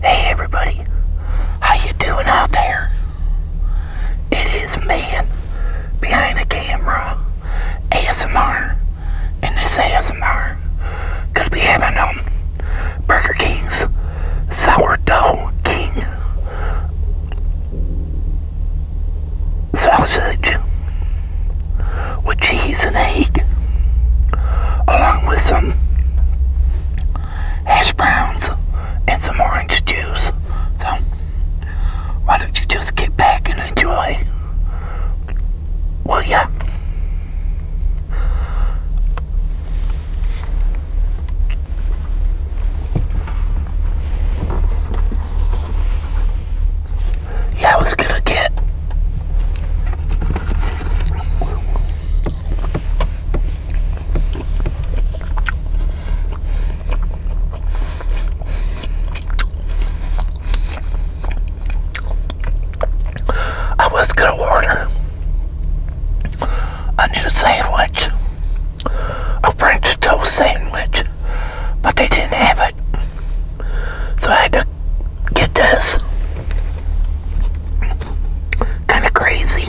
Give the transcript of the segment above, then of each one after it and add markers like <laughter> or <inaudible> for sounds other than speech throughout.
Hey everybody, how you doing out there? It is man behind the camera, ASMR, and this ASMR gonna be having um Burger King's sourdough king sausage with cheese and egg along with some hash browns and some orange juice. So, why don't you just get back and enjoy? Will ya? Yeah, I was gonna get I was going to order a new sandwich, a French toast sandwich, but they didn't have it. So I had to get this. Kind of crazy.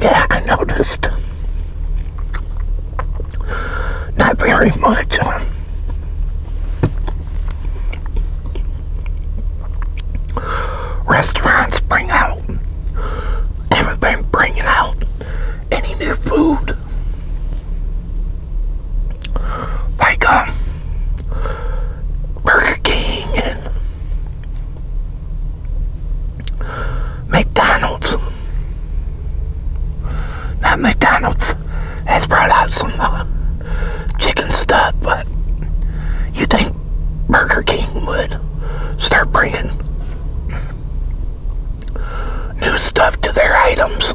Yeah, I noticed. Not very much. restaurants bring out, have bringing out any new food. Like, um, Burger King and McDonald's. Not McDonald's has brought out some uh, chicken stuff, but you think Burger King would start bringing new stuff to their items?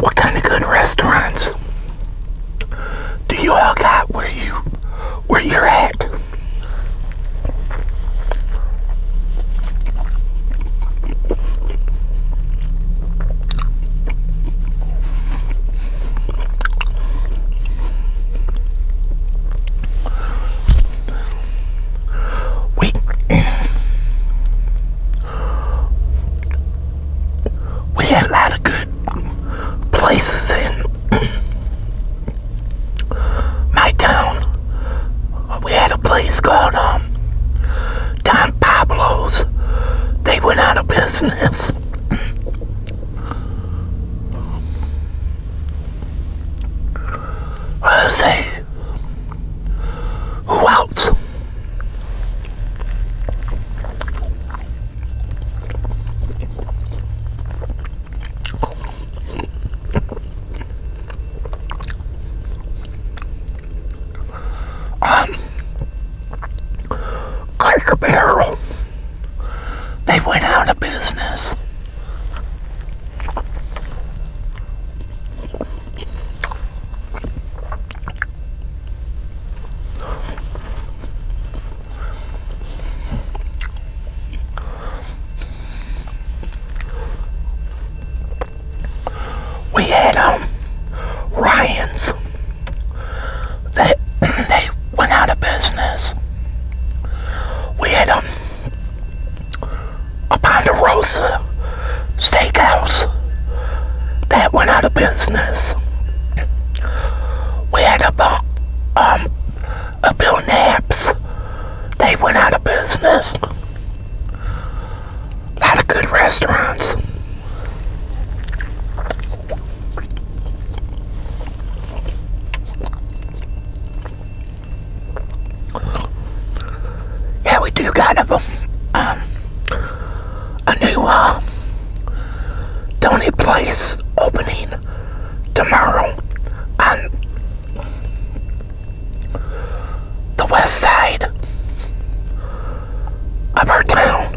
What kind of good restaurants do you all got where you where you're at? we we had a lot of good places in my town. We had a place called um, Don Pablo's. They went out of business. I say. Who else? Um, Cracker Barrel. They went out of business. We had um Ryan's that <clears throat> they, went out of business. We had um a Ponderosa steakhouse that went out of business. We had a, um, a Bill Naps. They went out of business. A lot of good restaurants. Yeah, we do got a, um, a new uh, Place opening tomorrow on the west side of our town.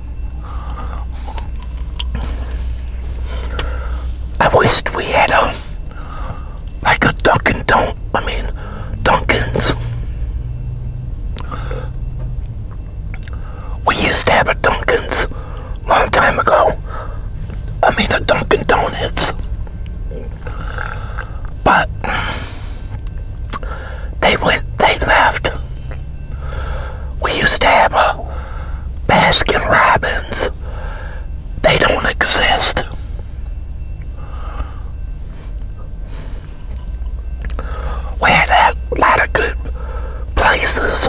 I wish we had a um, like a Dunkin' do I mean, Dunkin's. We used to have a Dunkin's long time ago. I mean, a Dunkin' Donuts. But they went. They left. We used to have a Baskin Robbins. They don't exist. We had a lot of good places.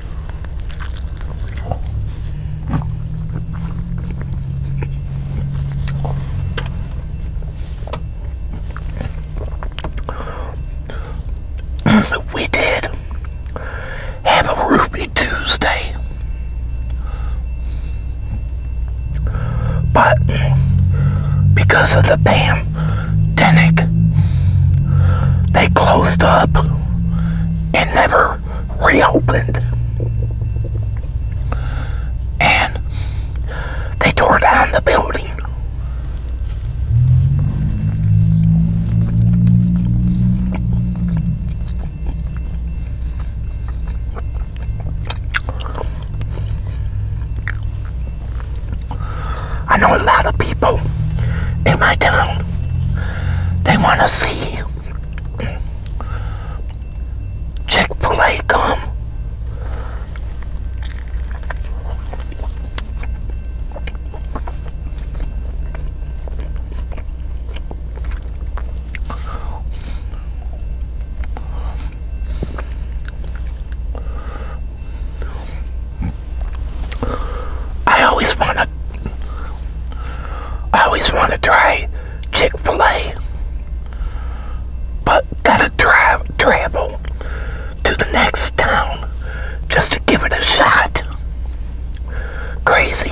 <coughs> we did have a Ruby Tuesday. But because of the pandemic, they closed up and never reopened. And they tore down the building. I know a lot of people in my town, they want to see you. Chick-fil-A gum. I always want to I always want to try Chick-fil-A, but gotta drive travel to the next town just to give it a shot. Crazy.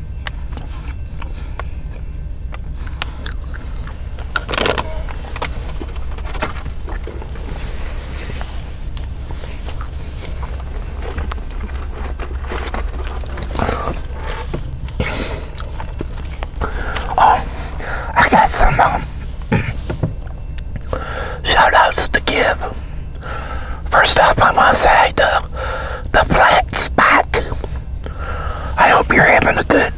Oh, I got some um, <clears throat> shout outs to give. First off, I want to say uh, the flat spot. I hope you're having a good,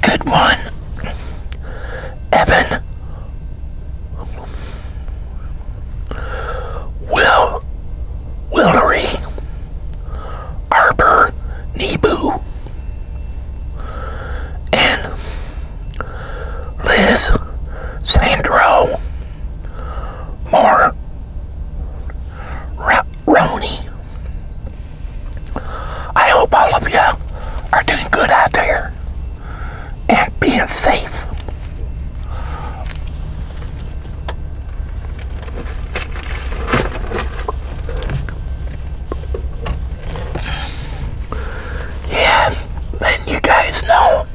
good one, Evan. Will, Willery, Arbor, Nebu, and Liz, Sandro more Roni. I hope all of you are doing good out there and being safe. Yeah, you guys know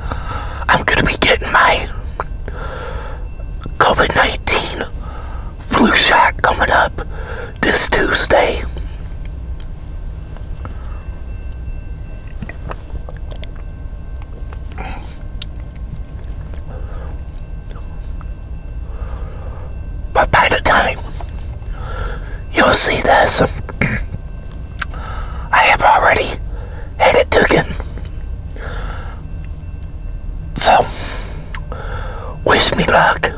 I'm going to be getting my COVID 19 flu shot coming up this Tuesday. But by the time you'll see this, <clears throat> I have already had it taken. So, wish me luck.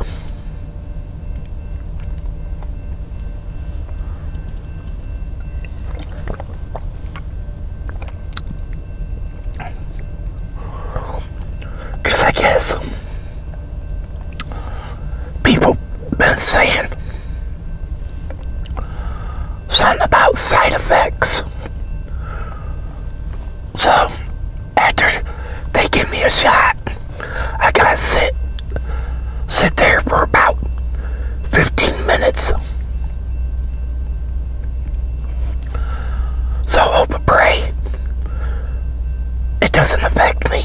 Because I guess people been saying something about side effects. So, after they give me a shot, I gotta sit, sit there for about 15 minutes. So, hope and pray it doesn't affect me.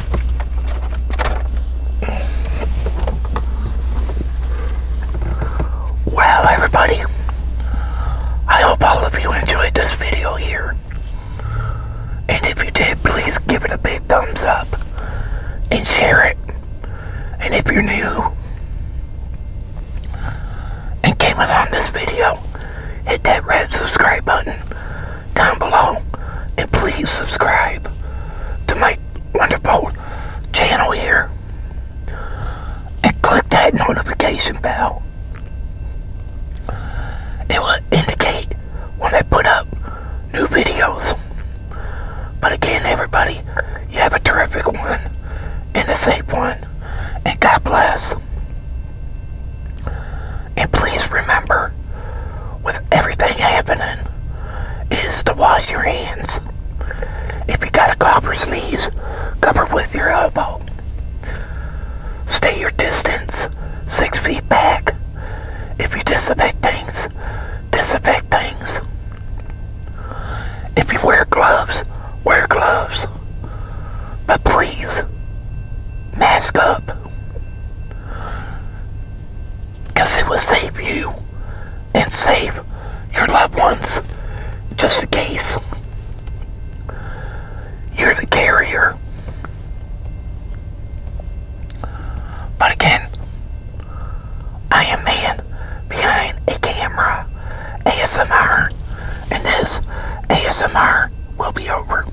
Well, everybody, I hope all of you enjoyed this video here. And if you did, please give it a big thumbs up and share it. And if you're new and came along this video, hit that red subscribe button down below and please subscribe to my wonderful channel here and click that notification bell. It will indicate when I put up new videos. But again, everybody, you have a terrific one and a safe one. And God bless. And please remember, with everything happening, is to wash your hands. If you got a cough or sneeze, cover with your elbow. Stay your distance, six feet back. If you disinfect things, disinfect things. If you wear gloves, wear gloves. But please, mask up. Because it will save you and save your loved ones just in case you're the carrier. But again, I am man behind a camera ASMR, and this ASMR will be over.